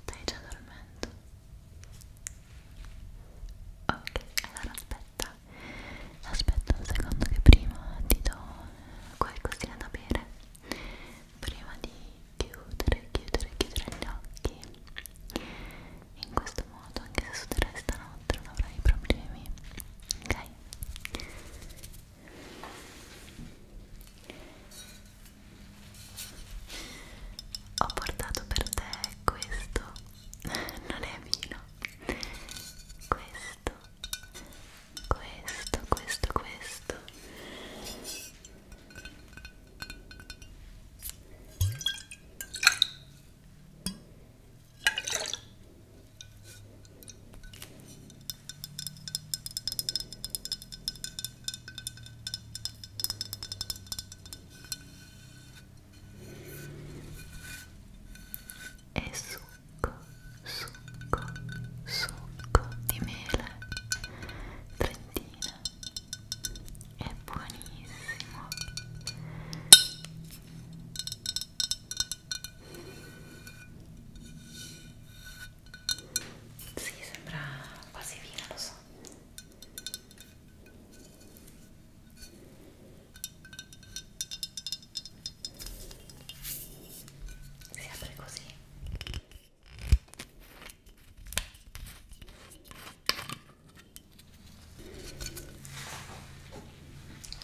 Stai già dormendo? Ok, allora aspetta, aspetta un secondo che prima ti do qualcosina da bere prima di chiudere, chiudere, chiudere gli occhi in questo modo anche se suderei stanotte non avrai problemi ok? Ho portato per te questo, non è vino, questo, questo, questo, questo e succo, succo, succo di mele trentina è buonissimo sì, sembra quasi vino, lo so. Si apre così.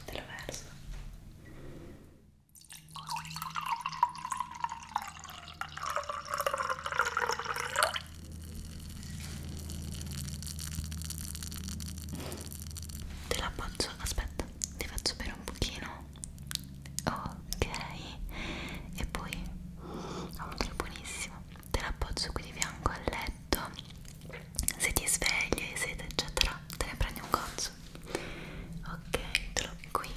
Te lo verso. Te la appoggio, aspetta, ti faccio bere un pochino. Ok, e poi ha un tiro buonissimo. Te la appoggio qui di fianco al letto. Se ti svegli, hai sete, eccetera, te ne prendi un cozzo. Ok, te qui.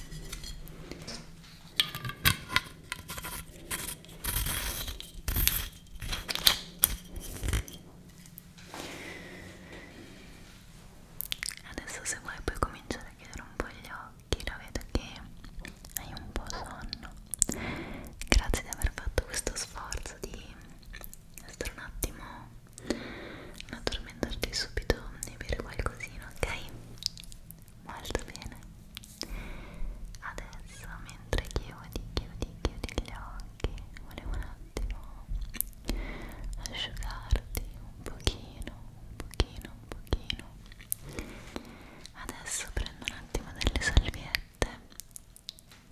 Adesso se vuoi puoi cominciare a chiudere un po' gli occhi, lo vedo che hai un po' sonno. Grazie di aver fatto questo sforzo di stare un attimo, non addormentarti subito e bere qualcosina, ok? molto bene adesso mentre chiudi chiudi chiudi gli occhi volevo un attimo asciugarti un pochino un pochino un pochino adesso prendo un attimo delle salviette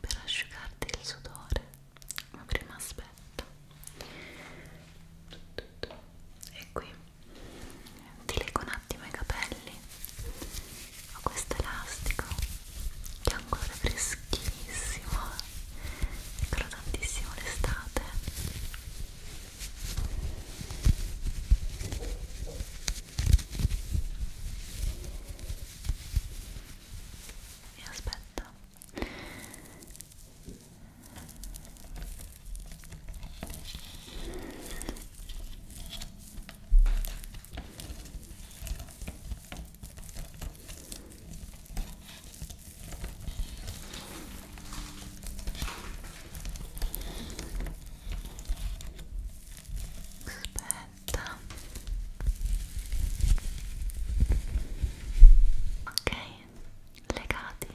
per asciugarti il sudore ma prima aspetta e qui ti leggo un attimo i capelli ho questo elastico che ha un colore freschissimo ricordo tantissimo l'estate e aspetta Aspetta. Ok, legati.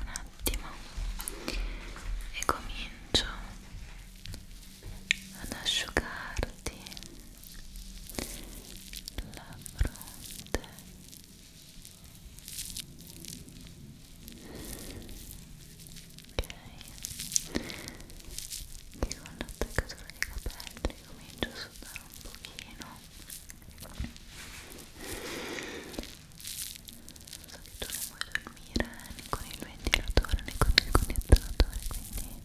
un attimo e comincio ad asciugarti la fronte ok e con l'attaccatura dei capelli comincio a sudare un pochino so che tu non vuoi dormire né con il ventilatore né con il condizionatore quindi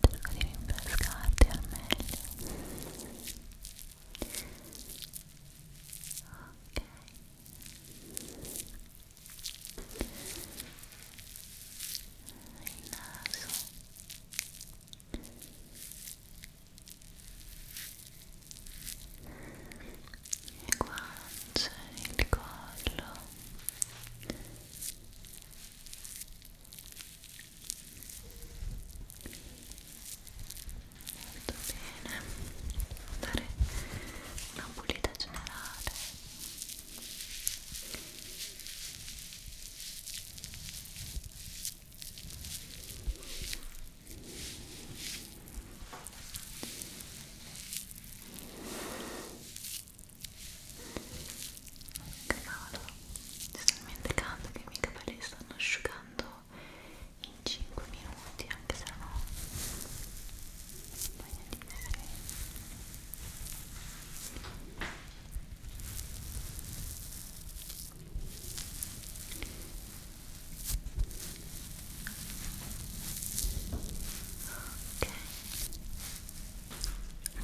cerco di rinfrescarti al meglio ok il naso le guance, il collo molto bene dare una pulita generale Cavolo, è talmente caldo che i miei capelli stanno asciugando in 5 minuti, anche se no bagnatissimi Ok,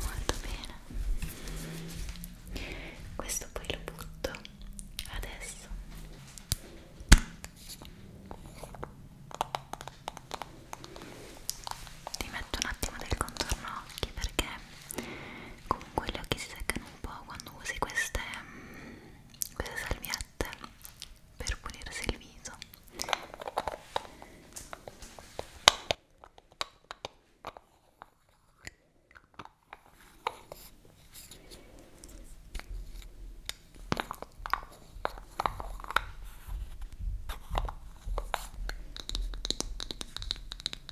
molto bene. Questo poi lo butto adesso. Ti metto un attimo del contorno occhi perché comunque gli occhi si seccano un po' quando usi queste, mm, queste salviette per pulirsi il viso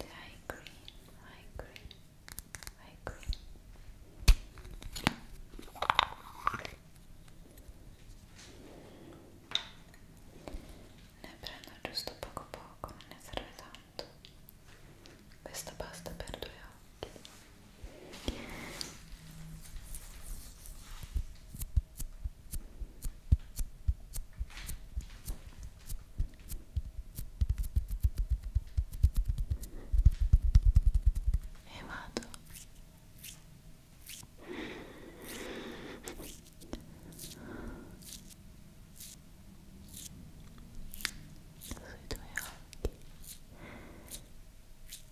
I agree, I agree, I agree. Ne prendo giusto poco poco, non ne serve tanto. Questo basta per due occhi e vado sui tuoi occhi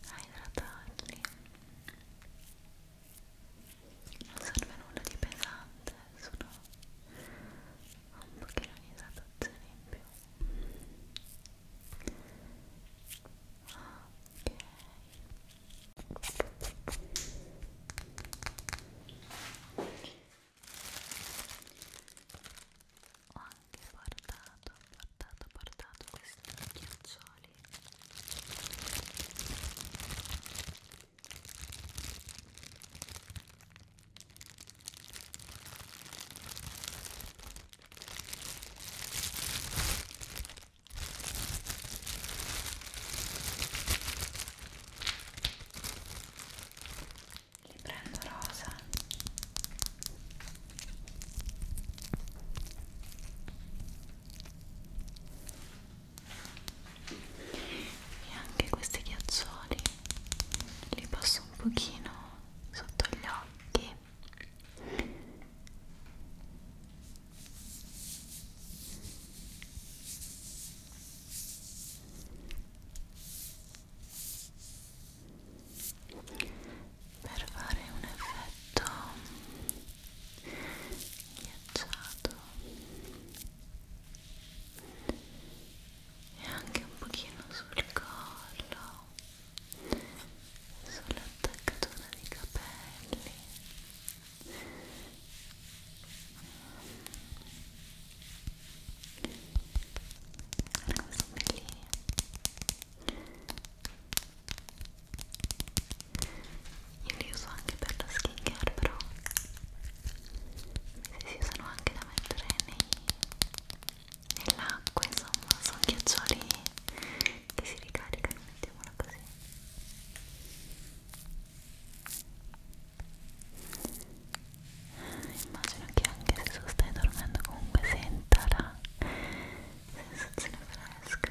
a idratarli non serve nulla di pesante sono un pochino di idratazione in più ok ho anche portato, portato, portato questi ghiaccioli li prendo rosa e anche questi ghiaccioli li passo un pochino sotto gli occhi per fare un effetto ghiacciato e anche un pochino sul collo sull'attaccatura dei capelli Ecco, lì io li uso anche per la skin care però se si usano anche da mettere nell'acqua insomma sono ghiaccioli che si ricaricano mettiamola così immagino che anche se tu stai dormendo comunque senta la sensazione fresca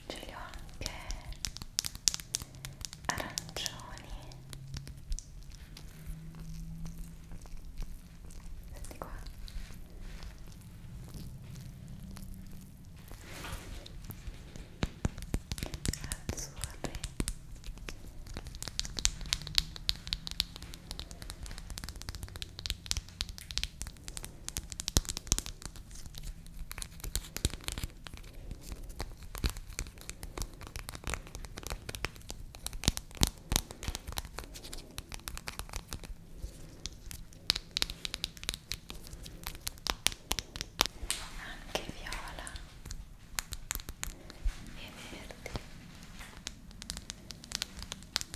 ce li ho anche arancioni senti qua azzurri anche viola e verde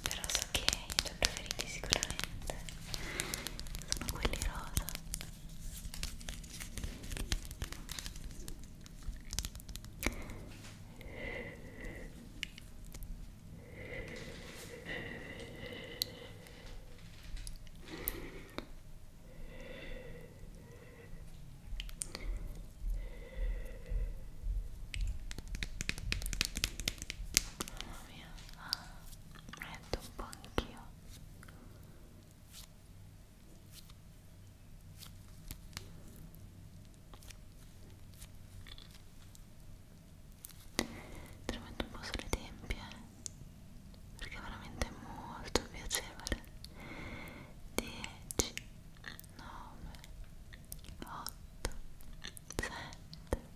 però so che i tuoi preferiti sicuramente sono quelli rosa Mamma mia, ah, metto un po' anch'io tremendo un po' sulle tempie eh. perché è veramente molto piacevole 10 9 8 7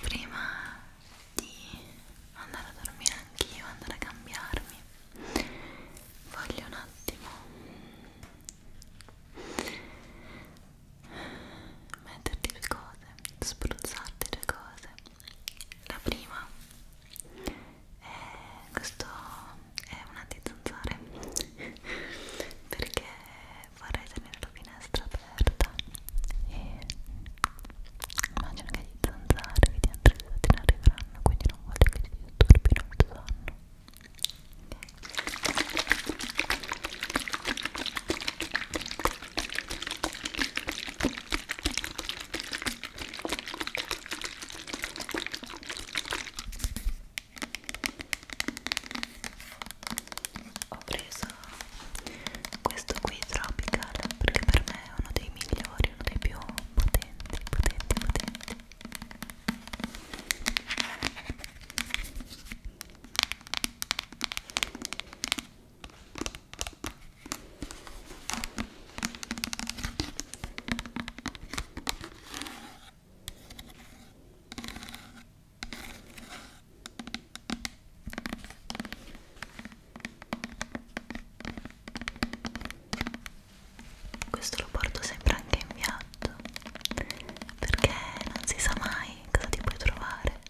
Prima di andare a dormire anch'io, andare a cambiarmi, voglio un attimo metterti le cose, spruzzarti le cose la prima è questo è un antizanzare perché vorrei tenere la finestra aperta e immagino che gli zanzari che ti hanno realizzati ne arriveranno quindi non voglio che ti disturbino il tuo sonno ok ho preso questo qui Tropical perché per me è uno dei migliori, uno dei più potenti, potenti, potenti. Questo lo porto sempre anche in viaggio perché non si sa mai cosa ti puoi trovare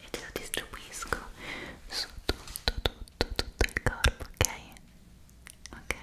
io e te la distribuisco su tutto, tutto, tutto il corpo, ok? Ok? ok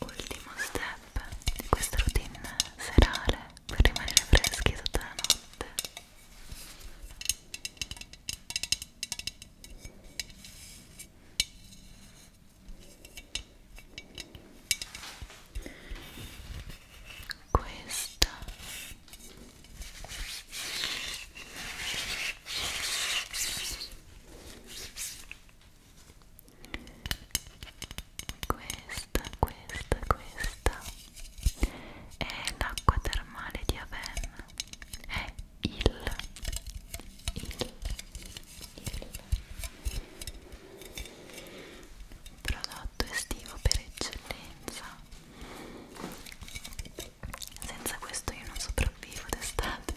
Ultimo step di questa routine serale per rimanere freschi tutta la notte questa questa, questa, questa è l'acqua termale di Aven è il, il il prodotto estivo per eccellenza senza questo io non sopravvivo d'estate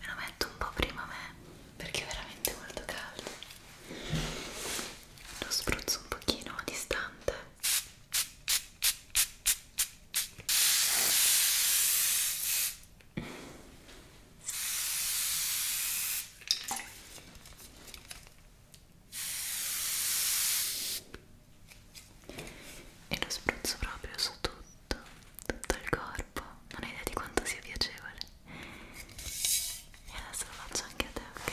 Me lo metto un po' prima me perché è veramente molto caldo. Lo spruzzo un pochino a distante e lo spruzzo proprio su tutto, tutto il corpo, non hai idea di quanto sia piacevole e adesso lo faccio anche a te, ok?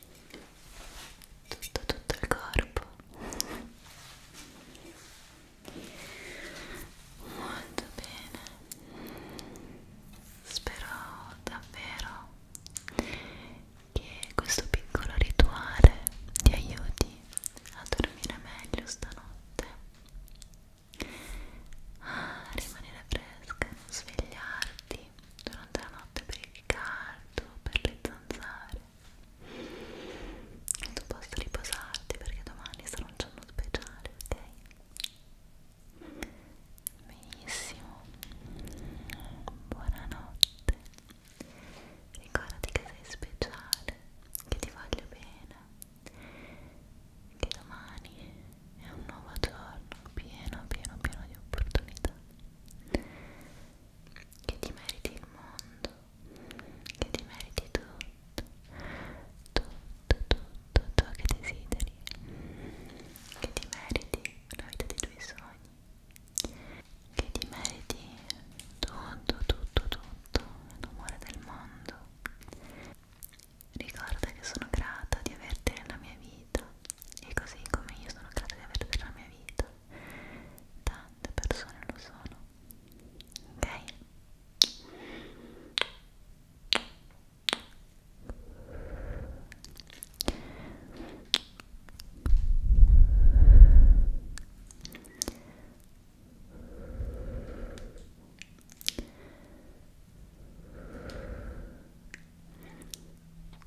tutto tutto il corpo molto bene spero davvero che questo piccolo rituale ti aiuti a dormire meglio stanotte a rimanere fresca non svegliarti durante la notte per il caldo per le zanzare tu possa riposarti perché domani sarà un giorno speciale, ok? Benissimo, buonanotte, ricordati che sei speciale, che ti voglio bene, che domani è un nuovo giorno pieno, pieno, pieno di opportunità che ti meriti il mondo, che ti meriti tutto, tutto, tutto, ciò che desideri, che ti meriti la vita dei tuoi sogni, che ti meriti tutto, tutto, tutto l'amore del mondo. Ricorda che sono grata di averti nella mia vita e così come io sono grata di averti nella mia vita da quante persone lo sono ok